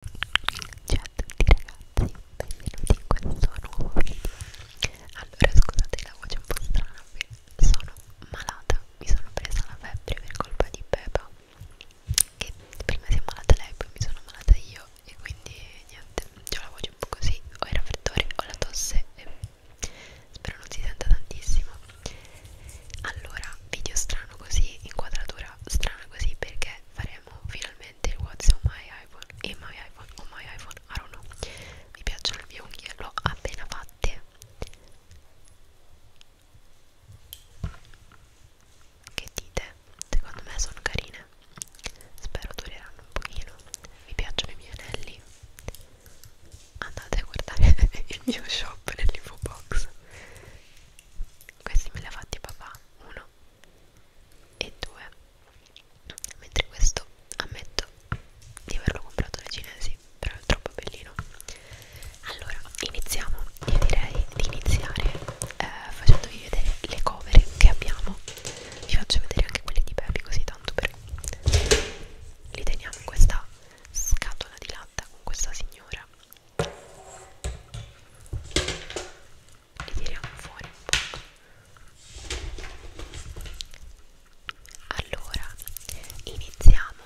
Ciao a tutti ragazzi, benvenuti in questo nuovo video Allora scusate la voce un po' strana sono malata, mi sono presa la febbre per colpa di Pepa Che prima si è malata lei, poi mi sono malata io e quindi niente, ho la voce un po' così, ho il raffreddore, ho la tosse e spero non si senta tantissimo Allora, video strano così, inquadratura strana così perché faremo finalmente il What's on my iPhone e my iPhone o my iPhone, I don't know mi piacciono le mie unghie, l'ho appena fatte che dite? secondo me sono carine spero dureranno un pochino mi piacciono i miei anelli andate a guardare il mio shop nell'info box questi me li ha fatti papà 1 e 2 mentre questo ammetto di averlo comprato dai cinesi però è troppo bellino allora iniziamo io direi di iniziare eh, facendovi vedere le cover che abbiamo vi faccio vedere anche quelle di Pepi così tanto per li teniamo in questa scatola di latta con questa signora li tiriamo fuori un po' allora iniziamo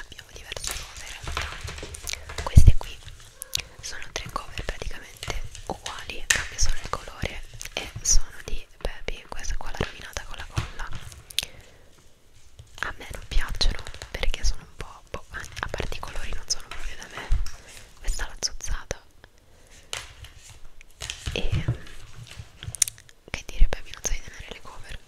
abbiamo diverse cover queste qui sono tre cover praticamente uguali cambia solo il colore e sono di Baby questa qua l'ha rovinata con la colla a me non piacciono perché sono un po' troppo boh, a parte i colori non sono proprio da me questa l'ha azzuzzata e che dire baby non sai tenere le cover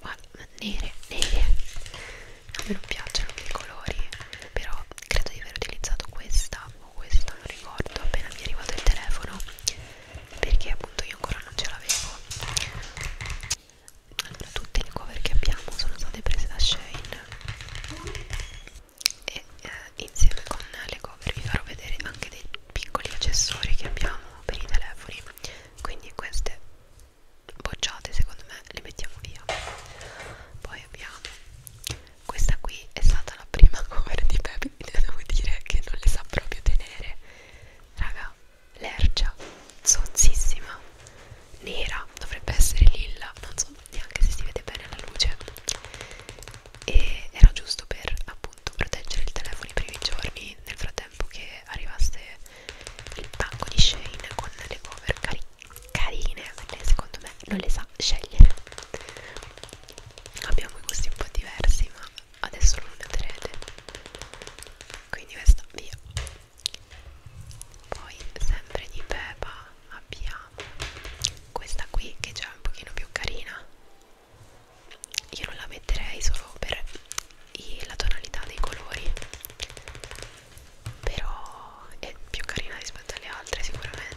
guarda nere nere a me non piacciono i colori però credo di aver utilizzato questa o questa non ricordo appena mi è arrivato il telefono perché appunto io ancora non ce l'avevo allora tutte le cover che abbiamo sono state prese da Shane e eh, insieme con le cover vi farò vedere anche dei piccoli accessori che abbiamo per i telefoni quindi queste bocciate secondo me le mettiamo via poi abbiamo questa qui è stata la prima cover di Peppy devo dire che non le sa proprio tenere raga lercia, sozzissima, nera, dovrebbe essere lilla, non so neanche se si vede bene alla luce e era giusto per appunto proteggere il telefono i primi giorni nel frattempo che arrivasse il pacco di Shane con le cover cari carine lei secondo me non le sa scegliere abbiamo i gusti un po' diversi ma adesso lo noterete quindi questa via poi sempre di Peppa abbiamo questa qui che è già un pochino più carina io non la metterei solo per i, la tonalità dei colori però è più carina rispetto alle altre sicuramente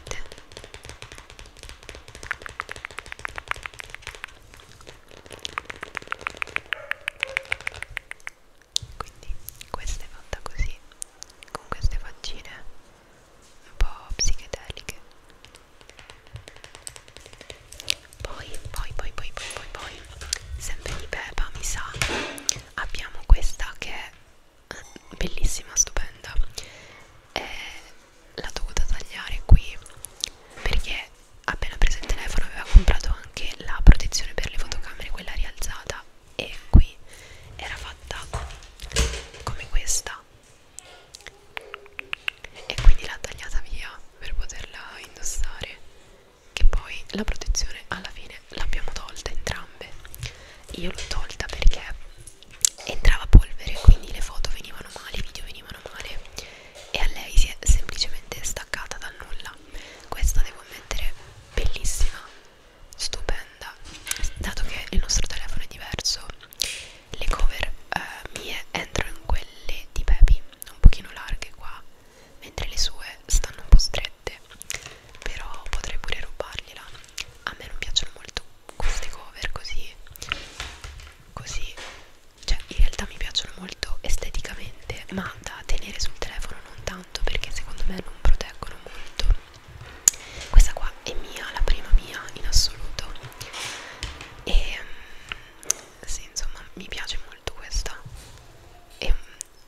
quindi questa è fatta così con queste faccine un po' psichedeliche poi poi poi poi poi poi poi sempre di Peppa mi sa abbiamo questa che è bellissima stupenda è la dovuta tagliare qui perché appena preso il telefono aveva comprato anche la protezione per le fotocamere, quella rialzata e qui era fatta come questa e quindi l'ha tagliata via per poterla indossare che poi la protezione alla fine l'abbiamo tolta entrambe io l'ho tolta perché entrava polvere quindi le foto venivano male, i video venivano male e a lei si è semplicemente staccata dal nulla bella questa devo ammettere bellissima stupenda dato che il nostro telefono è diverso le cover eh, mie entrano in quelle di Pepi un pochino larghe qua mentre le sue stanno un po' strette però potrei pure rubargliela a me non piacciono molto queste cover così così cioè in realtà mi piacciono molto esteticamente ma da tenere sul telefono non tanto perché secondo me non proteggono molto questa qua è mia la prima mia in assoluto e mm, sì insomma mi piace molto questa e mm,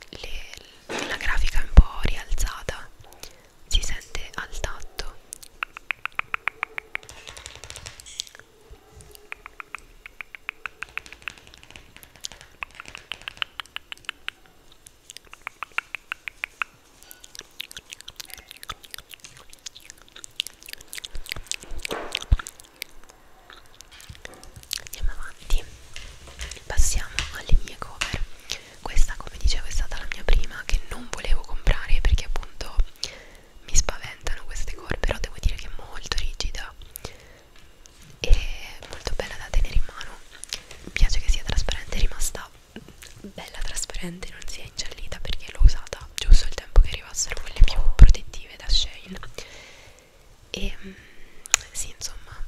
le, la grafica è un po' rialzata si sente al tatto Andiamo avanti, passiamo alle mie cover. Questa, come dicevo, è stata la mia prima che non volevo comprare perché appunto mi spaventano queste cover, però devo dire che è molto rigida e molto bella da tenere in mano mi piace che sia trasparente è rimasta bella trasparente non si è ingiallita perché l'ho usata giusto il tempo che arrivassero quelle più protettive da Shane e ehm, sì insomma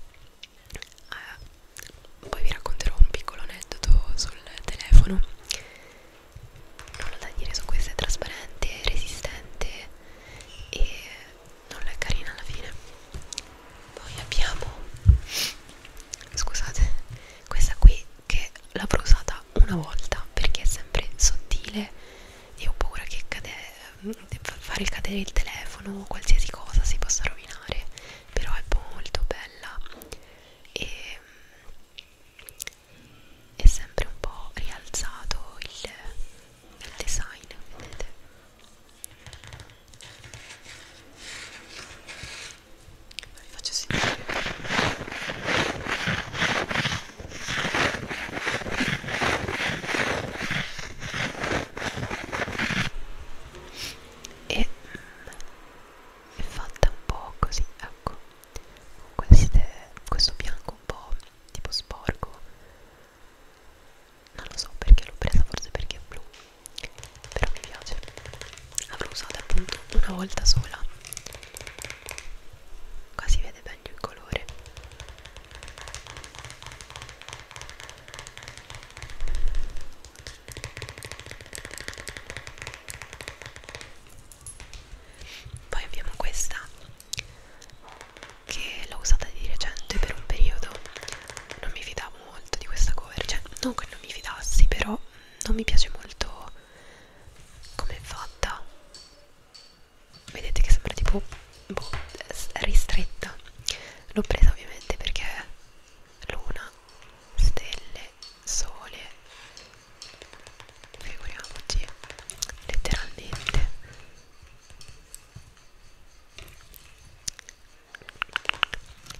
eh, poi vi racconterò un piccolo aneddoto sul telefono non ho da dire su questa è trasparente resistente e non è carina alla fine poi abbiamo scusate questa qui che l'avrò usata una volta perché è sempre sottile e ho paura che cade, mm, fare cadere il telefono o qualsiasi cosa si possa rovinare però è molto bella e è sempre un po' rialzato il, il design vedete vi faccio sentire e mm, è fatta un po' così ecco con queste, questo bianco un po' tipo sporco non lo so perché l'ho presa forse perché è blu però mi piace l'avrò usata appunto una volta sola qua si vede meglio il colore poi abbiamo questa che l'ho usata di recente per un periodo non mi fidavo molto di questa cover cioè non che non mi fidassi però mm, non mi piace molto come è fatta vedete che sembra tipo boh, ristretta l'ho presa ovviamente perché luna stelle sole figuriamoci letteralmente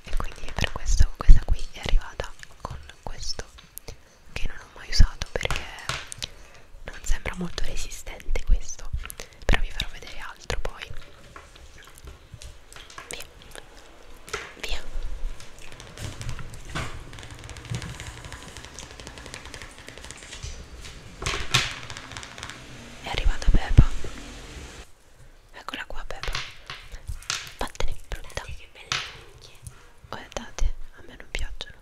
e quindi per questo questa qui è arrivata con questo che non ho mai usato perché non sembra molto resistente questo però vi farò vedere altro poi via via è arrivata Peppa. Eccola qua Peppa. Vattene brutta. Che belle unghie. Guardate, a me non piacciono.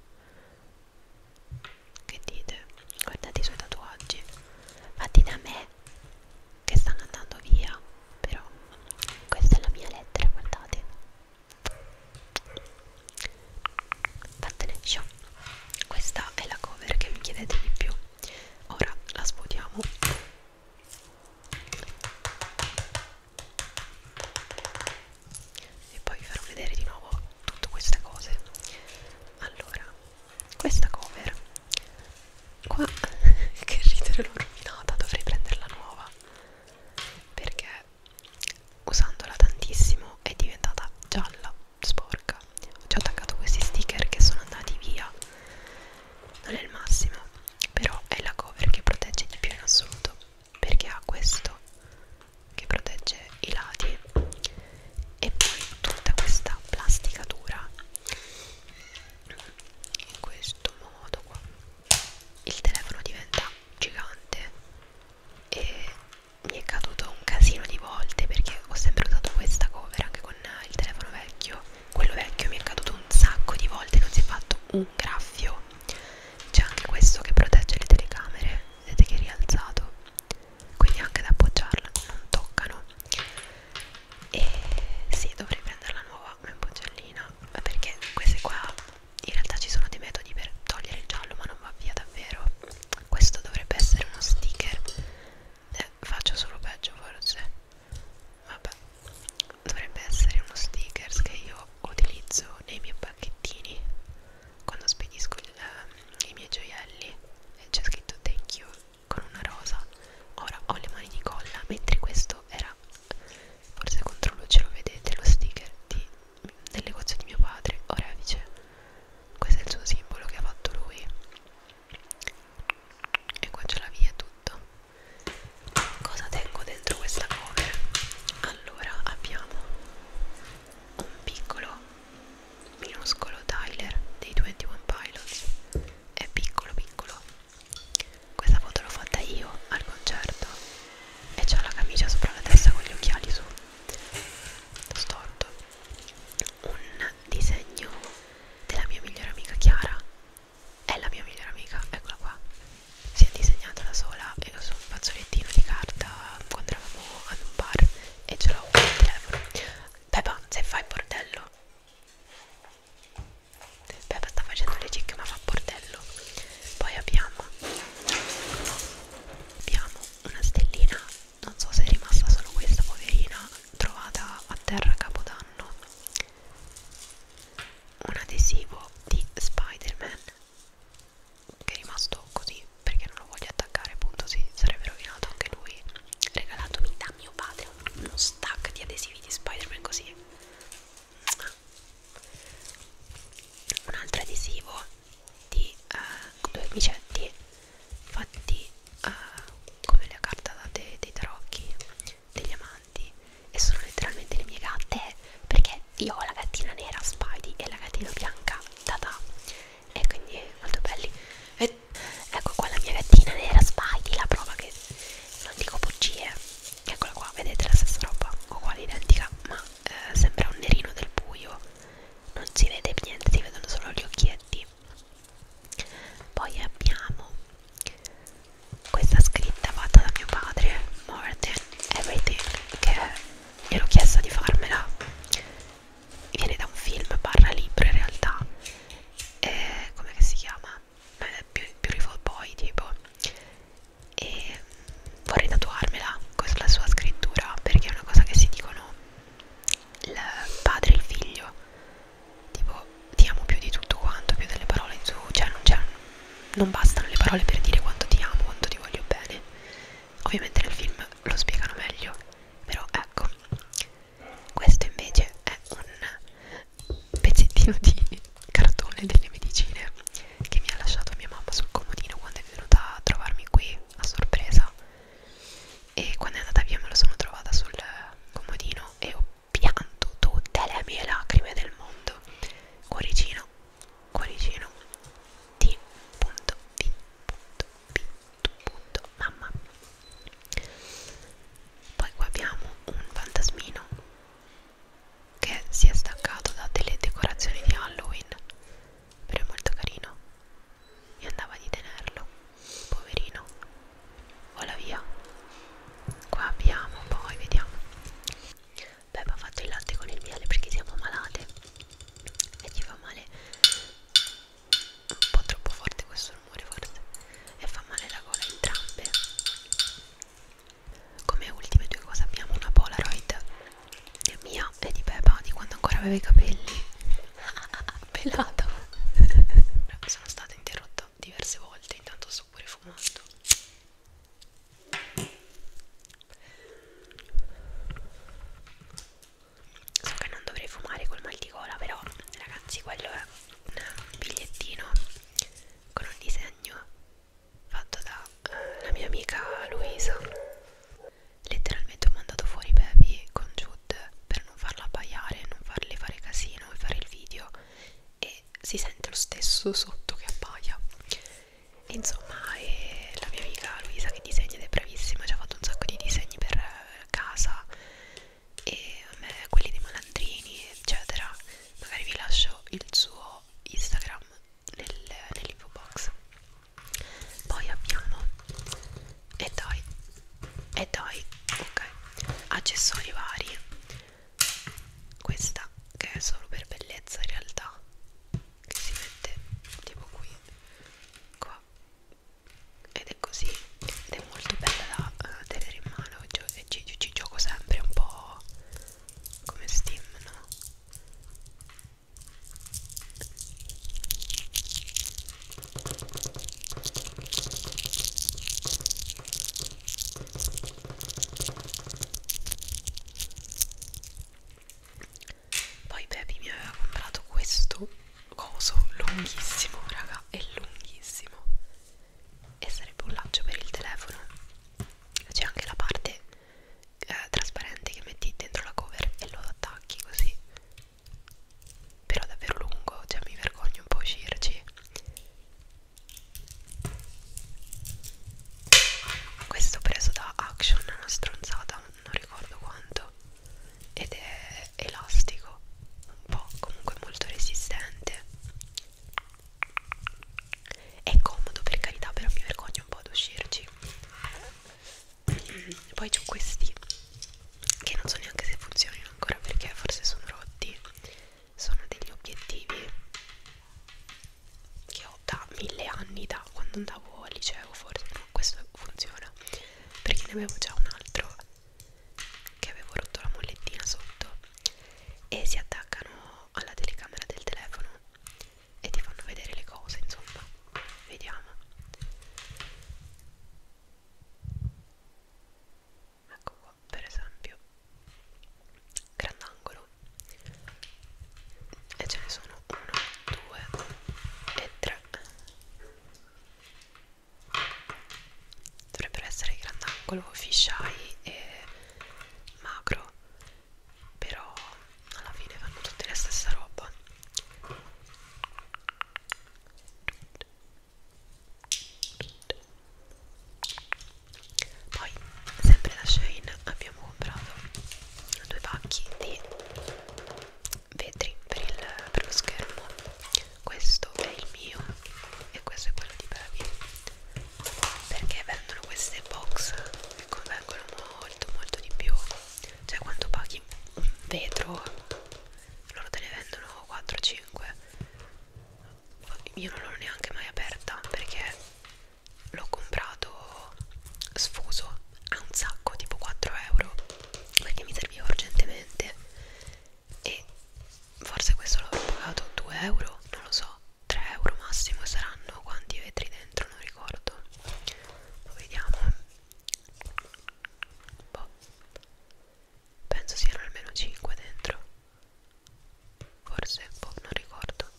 Che dite? Guardate i suoi tatuaggi. Fatti da me. Che stanno andando via. Però questa è la mia lettera, guardate. Vattene, ciao. Questa è la cover che mi chiedete di più. Ora la svuotiamo. E poi vi farò vedere di nuovo tutte queste cose. Allora, questa cover qua che ridere l'ho rovinata, dovrei prenderla nuova perché usandola tantissimo è diventata gialla, sporca ci ho attaccato questi sticker che sono andati via non è il massimo però è la cover che protegge di più in assoluto perché ha questo che protegge i lati e poi tutta questa plastica dura in questo modo qua il telefono diventa gigante e mi è caduto un casino di volte perché ho sempre usato questa cover anche con il telefono vecchio quello vecchio mi è caduto un sacco di volte non si è fatto un graffio c'è anche questo che protegge le telecamere vedete che è rialzato quindi anche ad appoggiarla non toccano e sì dovrei prenderla nuova una boccellina perché queste qua in realtà ci sono dei metodi per togliere il giallo ma non va via davvero questo dovrebbe essere uno sticker eh, faccio solo peggio forse vabbè dovrebbe essere uno sticker che io utilizzo nei miei pacchettini quando spedisco il, eh, i miei gioielli e c'è scritto thank you con una rosa ora ho le mani di colla mentre questo era forse contro luce lo vedete lo sticker di, del negozio di mio padre Orevice questo è il suo simbolo che ha fatto lui e qua c'è la via e tutto cosa tengo dentro questa cover? allora abbiamo un piccolo minuscolo Tyler dei 21 Pilots è piccolo piccolo questa foto l'ho fatta io al concerto e c'ho la camicia sopra la testa con gli occhiali su storto. Un disegno della mia migliore amica Chiara. È la mia migliore amica, eccola qua. Si è disegnata da sola e su un fazzolettino di carta quando eravamo ad un bar e ce l'ho al telefono. Pepa, se fai il bordello. Pepe sta facendo le cicche ma fa bordello poi abbiamo abbiamo una stellina non so se è rimasta solo questa poverina trovata a terra a capodanno un adesivo di Spider-Man che è rimasto così perché non lo voglio attaccare appunto si sarebbe rovinato anche lui regalatomi da mio padre uno stack di adesivi di Spider-Man così un altro adesivo di uh, due biglietti fatti uh, come la carta dei, dei tarocchi degli amanti e sono letteralmente le mie gatte perché io ho la gattina nera Spidey e la gattina bianca Tata e quindi molto belli e, ecco qua la mia gattina nera Spidey la prova che non dico bugie eccola qua vedete la stessa roba uguale identica ma eh, sembra un nerino del buio non si vede niente si vedono solo gli occhietti poi abbiamo questa scritta fatta da mio padre more than everything che gliel'ho chiesta di farmela viene da un film barra libro in realtà eh, come si chiama eh, Beautiful Boy tipo e vorrei tatuarmela con la sua scrittura perché è una cosa che si dicono il padre e il figlio tipo ti amo più di tutto quanto più delle parole su cioè non c'è cioè, non bastano le parole per dire quanto ti amo quanto ti voglio bene ovviamente nel film lo spiegano meglio però ecco questo invece è un pezzettino di cartone delle medicine che mi ha lasciato mia mamma sul comodino quando è venuta a trovarmi qui a sorpresa e quando è andata via me lo sono trovata sul comodino e ho pianto tutte le mie lacrime del mondo cuoricino cuoricino t.v.p. mamma poi qua abbiamo un fantasmino che si è staccato da delle decorazioni di Halloween però è molto carino e andava di tenerlo poverino vola via qua abbiamo poi vediamo Beba ha fatto il latte con il miele perché siamo malate e ci fa male un po' troppo forte questo rumore forse e fa male la gola entrambe come ultime due cose abbiamo una polaroid mia e di Pepa di quando ancora aveva i capelli pelato no, sono stata interrotta diverse volte intanto sto pure fumando so che non dovrei fumare col mal di gola però ragazzi quello è un bigliettino con un disegno disegno fatto dalla eh, mia amica Luisa letteralmente ho mandato fuori Baby con Jude per non farla abbaiare non farle fare casino e fare il video e si sente lo stesso sotto che appaia e insomma è la mia amica Luisa che disegna ed è bravissima ci ha fatto un sacco di disegni per eh, casa e a me quelli dei malandrini eccetera magari vi lascio il suo Instagram nel, nell'info box poi abbiamo e dai e dai ok accessori vari questa che è solo per bellezza in realtà che si mette tipo qui qua ed è così ed è molto bella da uh, tenere in mano cioè e ci, ci gioco sempre un po' come Steam, no? Poi Baby mi aveva comprato questo coso lunghissimo, raga, è lunghissimo e sarebbe un laccio per il telefono c'è anche la parte eh, trasparente che metti dentro la cover e lo attacchi così però è davvero lungo cioè mi vergogno un po' a uscirci questo preso da Action è una stronzata non ricordo quanto ed è elastico un po' comunque molto resistente è comodo per carità, però mi vergogno un po' ad uscirci. Poi c'ho questi che non so neanche se funzionino ancora perché forse sono rotti. Sono degli obiettivi che ho da mille anni, da quando andavo al liceo forse. No, questo funziona perché ne avevo già un altro che avevo rotto la mollettina sotto e si attaccano alla telecamera del telefono e ti fanno vedere le cose insomma vediamo ecco qua per esempio grandangolo e ce ne sono 1 2 e 3 dovrebbero essere grandangolo, fisheye e macro però alla fine fanno tutte la stessa roba poi sempre da Shane abbiamo comprato due pacchi di vetri per, il, per lo schermo questo è il mio e questo è quello di Baby perché vendono queste box che convengono molto molto di più cioè quando paghi un vetro loro te ne vendono 4-5 io non l'ho neanche mai aperta perché l'ho comprato sfuso a un sacco tipo 4 euro perché mi serviva urgentemente e forse questo l'avrò pagato 2 euro non lo so 3 euro massimo saranno quanti vetri dentro non ricordo lo vediamo boh. penso siano almeno 5 dentro forse boh, non ricordo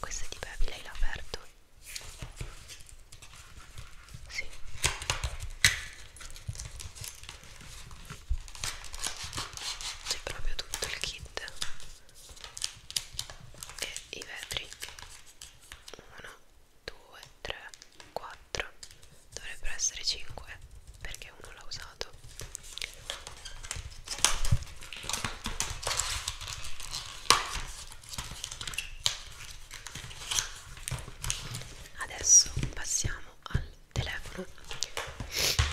questo è di Baby, lei l'ha aperto sì. C'è proprio tutto il kit e i vetri 1, 2, 3, 4 dovrebbero essere 5 perché uno l'ha usato adesso passiamo al telefono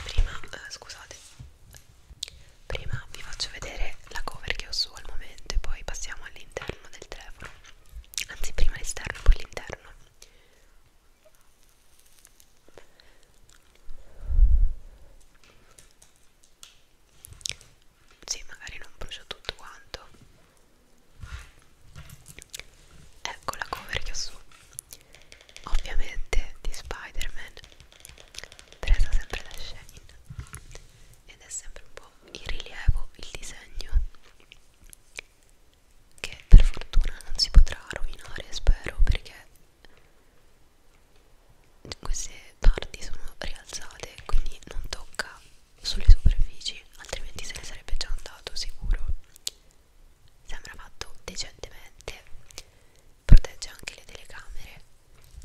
prima eh, scusate prima vi faccio vedere la cover che ho su al momento e poi passiamo all'interno del telefono anzi prima l'esterno e poi l'interno sì magari non brucia tutto quanto ecco la cover che ho su ovviamente di Spider-Man presa sempre da Shane ed è sempre un po' in rilievo il disegno che per fortuna non si potrà rovinare spero perché queste parti sono rialzate quindi non tocca sulle superfici altrimenti se ne sarebbe già andato sicuro sembra fatto decentemente protegge anche le telecamere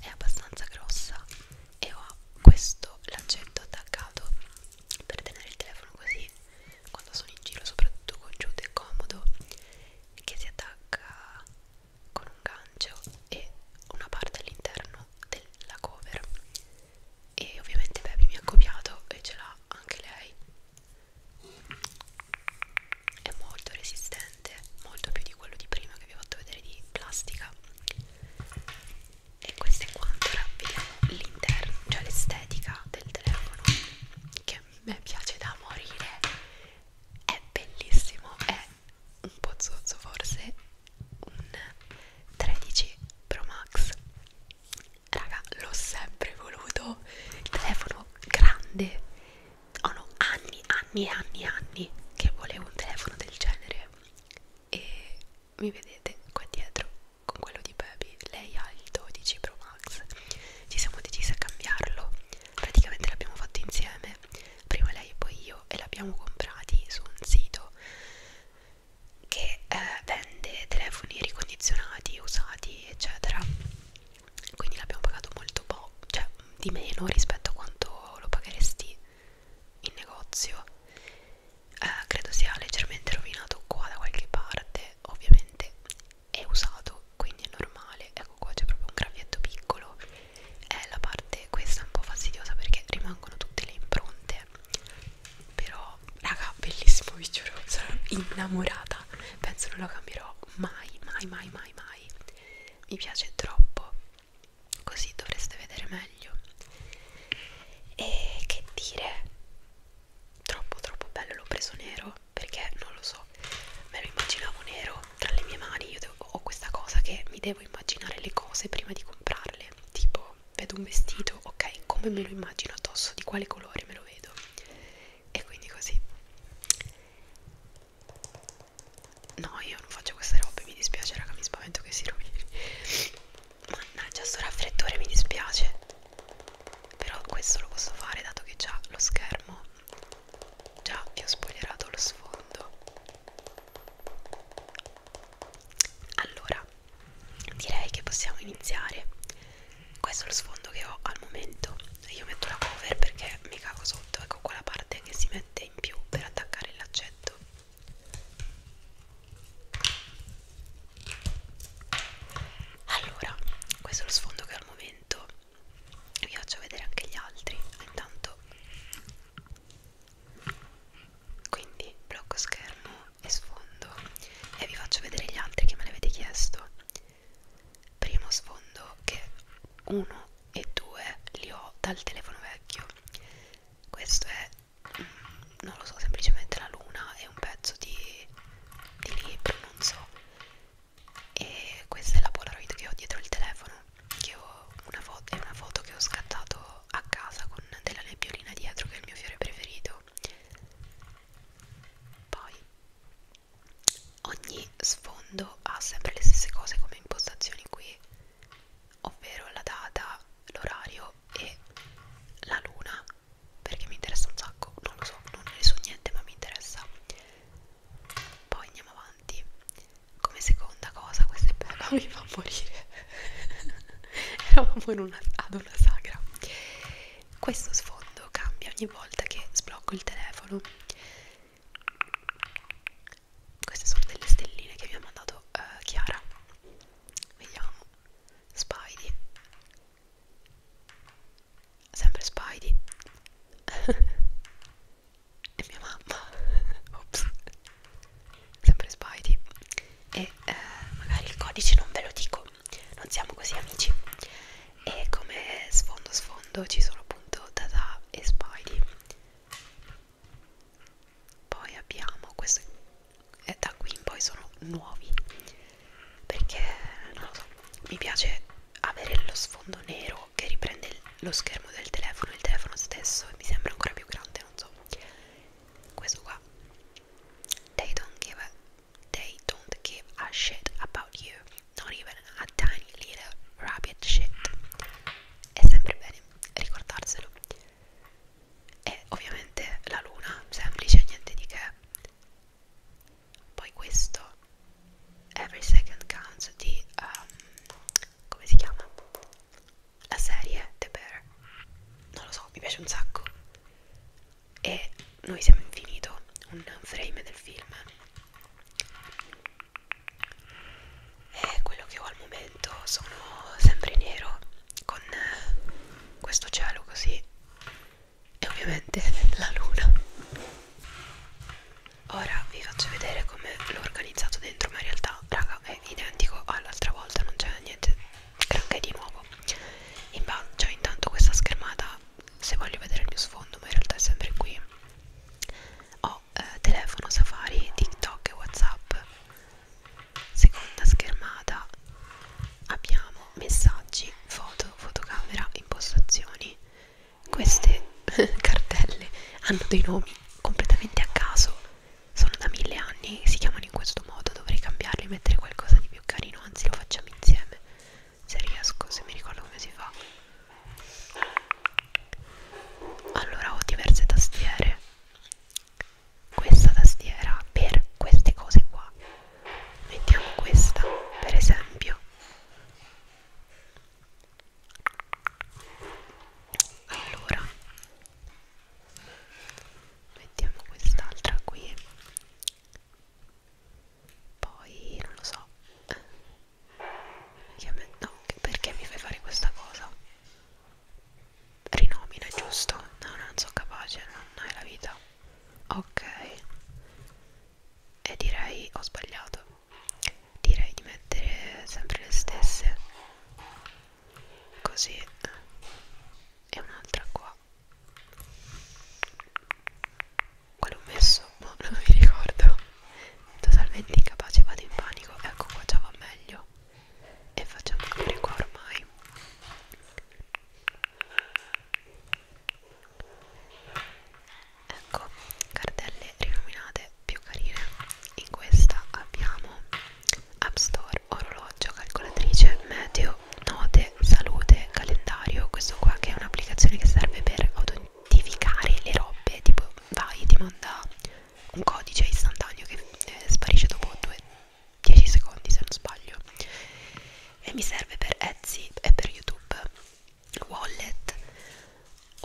è abbastanza grossa e ho questo lancetto attaccato per tenere il telefono così quando sono in giro soprattutto con giù è comodo che si attacca con un gancio e una parte all'interno della cover e ovviamente Baby mi ha copiato e ce l'ha anche lei è molto resistente molto più di quello di prima che vi ho fatto vedere di plastica e questo è quanto ora vediamo l'interno cioè l'estetica del telefono che a me piace da morire è bellissimo è un po' zozzo forse un 13 Pro Max raga l'ho sempre voluto il telefono grande oh no anni anni anni anni che volevo un telefono del genere e mi vedete qua dietro con quello di Baby lei ha il 12 Pro Max ci siamo decisi a cambiarlo praticamente l'abbiamo fatto insieme insieme prima lei e poi io e l'abbiamo comprati su un sito che eh, vende telefoni ricondizionati, usati eccetera quindi l'abbiamo pagato molto poco, cioè di meno rispetto a quanto lo pagheresti in negozio eh, credo sia leggermente rovinato qua da qualche parte ovviamente è usato quindi è normale ecco qua c'è proprio un gravietto piccolo è eh, la parte questa un po' fastidiosa perché rimangono tutte le impronte però raga bellissimo vi giuro sono innamorata penso non lo cambierò mai mai mai mai mai mi piace troppo così dovreste vedere meglio e che dire troppo troppo bello l'ho preso nero perché non lo so so, me lo immaginavo nero tra le mie mani, io devo, ho questa cosa che mi devo immaginare le cose prima di comprarle, tipo vedo un vestito, ok, come me lo immagino addosso, di quale colore me lo vedo e quindi così. No, io non faccio queste robe, mi dispiace raga, mi spavento che si rovini. Mannaggia, sto raffreddore, mi dispiace. Però questo lo posso fare dato che già lo schermo Già vi ho spoilerato lo sfondo. Allora, direi che possiamo iniziare. Questo è lo sfondo che ho al momento. Io metto la cover perché mi cago sotto, ecco qua la parte che si mette in più per attaccare il laccetto. Allora, questo è lo sfondo che ho al momento vi faccio vedere anche gli altri intanto quindi blocco schermo e sfondo e vi faccio vedere gli altri che me l'avete chiesto primo sfondo che uno e due li ho dal telefono vecchio questo è mm, non lo so semplicemente la luna è un pezzo di, di libro non so e questa è la polaroid che ho dietro il telefono che ho una foto, è una foto che ho scattato a casa con della nebbiolina dietro che è il mio fiore preferito poi ogni sfondo ha sempre le stesse cose come impostazioni qui ovvero la data, l'orario e la luna perché mi interessa un sacco, non lo so, non ne so niente ma mi interessa poi andiamo avanti come seconda cosa questa è bella mi fa morire eravamo in una, ad una sagra questo sfondo cambia ogni volta che sblocco il telefono queste sono delle stelline che mi ha mandato uh, Chiara vediamo Spidey sempre Spidey e mia mamma Ops. sempre Spidey e eh, magari il codice non ve lo dico non siamo così amici e come sfondo sfondo ci sono appunto Dada e Spidey poi abbiamo questo e eh, da qui in poi sono nuovi perché non lo so mi piace avere lo sfondo nero video che riprende lo schermo del telefono, il telefono stesso e mi sembra ancora più grande, non so. Questo qua. They don't give a, they don't give a shit about you. Not even a tiny little rabbit shit. È sempre bene ricordarselo. E ovviamente la luna, semplice, niente di che poi questo Every Second Counts di um, come si chiama? La serie The Bear non lo so, mi piace un sacco e Noi siamo infinito un frame del film e quello che ho al momento sono sempre nero con eh, questo cielo così e ovviamente la luna Ora vi faccio vedere come l'ho organizzato dentro, ma in realtà, raga, è identico all'altra volta, non c'è niente granché di nuovo. In cioè, intanto questa schermata, se voglio vedere il mio sfondo, ma in realtà è sempre qui. Ho eh, telefono, Safari, TikTok e WhatsApp. Seconda schermata abbiamo messaggi, foto, fotocamera, impostazioni queste cartelle hanno dei nomi completamente a caso, sono da mille anni, si chiamano in questo modo, dovrei cambiarli e mettere qualcosa di più carino, anzi lo facciamo insieme, se riesco, se mi ricordo come si fa. Allora ho diverse tastiere, questa tastiera per queste cose qua, mettiamo questa per esempio allora mettiamo quest'altra qui poi non lo so no, perché mi fai fare questa cosa rinomina giusto no non sono capace non hai la vita ok e direi ho sbagliato direi di mettere sempre le stesse così e un'altra qua quale ho messo? Boh, non mi ricordo totalmente incapace vado in panico ecco qua già va meglio e facciamo pure qua ormai ecco cartelle rinominate più carine in questa abbiamo app store orologio calcolatrice meteo note salute calendario questo qua che è un'applicazione che serve per autentificare le robe tipo vai ti manda un codice istantaneo che eh, sparisce dopo 2-10 secondi se non sbaglio e mi serve per Etsy e per YouTube wallet,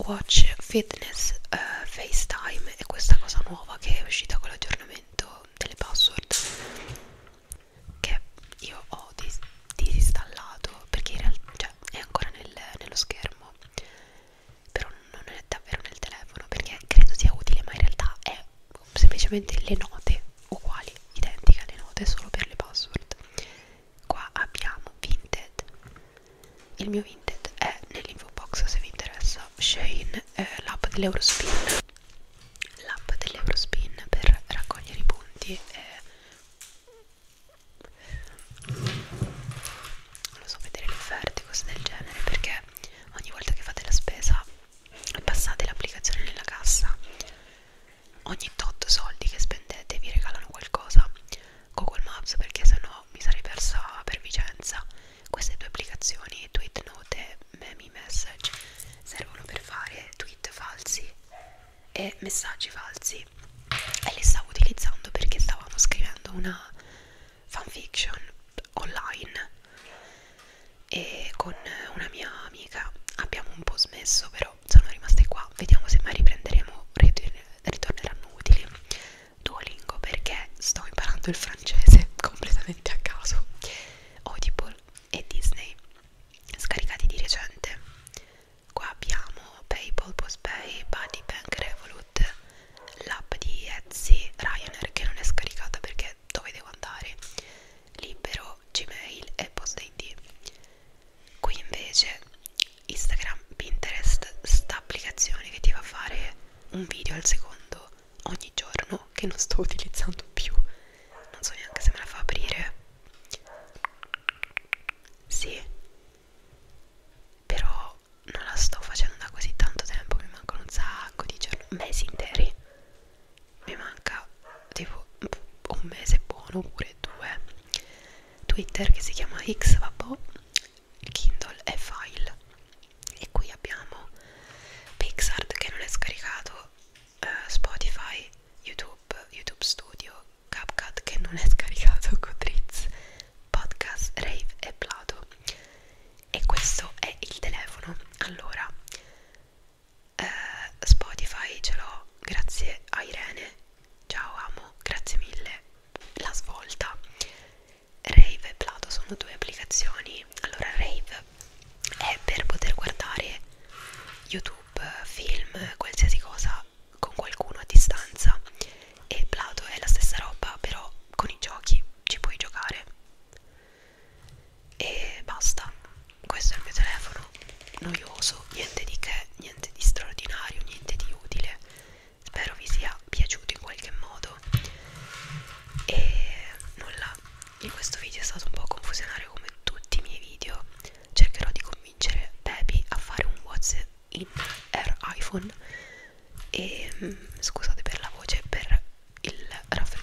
watch, fitness, uh, facetime e questa cosa nuova che è uscita con l'aggiornamento delle password che io ho dis disinstallato perché in realtà cioè, è ancora nel, nello schermo però non è davvero nel telefono perché credo sia utile ma in realtà è semplicemente le note uguali, identiche alle note solo per le password qua abbiamo Vinted il mio Vinted è nell'info box se vi interessa Shane eh, l'app dell'Eurospin l'app dell'Eurospin per raccogliere i punti e non so vedere le offerte cose del genere perché ogni volta che fate la spesa passate l'applicazione nella cassa ogni tot soldi che spendete vi regalano qualcosa Google Maps perché sennò mi sarei persa per Vicenza queste due applicazioni tweet note meme message servono per fare tweet falsi e messaggi falsi e li stavo utilizzando perché stavamo scrivendo una fanfiction online e con una mia amica abbiamo un po' smesso però davvero sono rimaste qua vediamo se mai riprenderemo ritorneranno utili Duolingo perché sto imparando il francese completamente a caso Audible e Disney scaricati di recente qua abbiamo Paypal, Postpay, Buddy Bank, Revolut l'app di Etsy, Ryanair che non è scaricata perché dove devo andare libero, Gmail e Post ID qui invece Instagram, Pinterest, sta applicazione che ti fa fare un video al secondo ogni giorno che non sto utilizzando più non so neanche se me la fa aprire sì però non la sto facendo da così tanto tempo mi mancano un sacco di giorni mesi interi mi manca tipo un mese buono oppure due Twitter che si chiama Xvapo, Kindle e File e qui abbiamo Pixart che non è scaricato, eh, Spotify, YouTube, YouTube Studio, CapCut che non è scaricato, Goodreads, Podcast, Rave e Plato e questo è il telefono allora eh, Spotify ce l'ho grazie a Irene ciao amo grazie mille la svolta Rave e Plato sono due applicazioni allora Rave è per poter guardare YouTube film qualsiasi cosa con qualcuno a distanza e Plato è la stessa roba però con i giochi ci puoi giocare e basta questo è il mio telefono noioso niente di che niente di straordinario niente di utile spero vi sia piaciuto in qualche modo e nulla in questo video è stato un po' confusionario come tutti i miei video cercherò di convincere Baby a fare un whatsapp in air iphone e mm, scusate per la voce per il raffreddore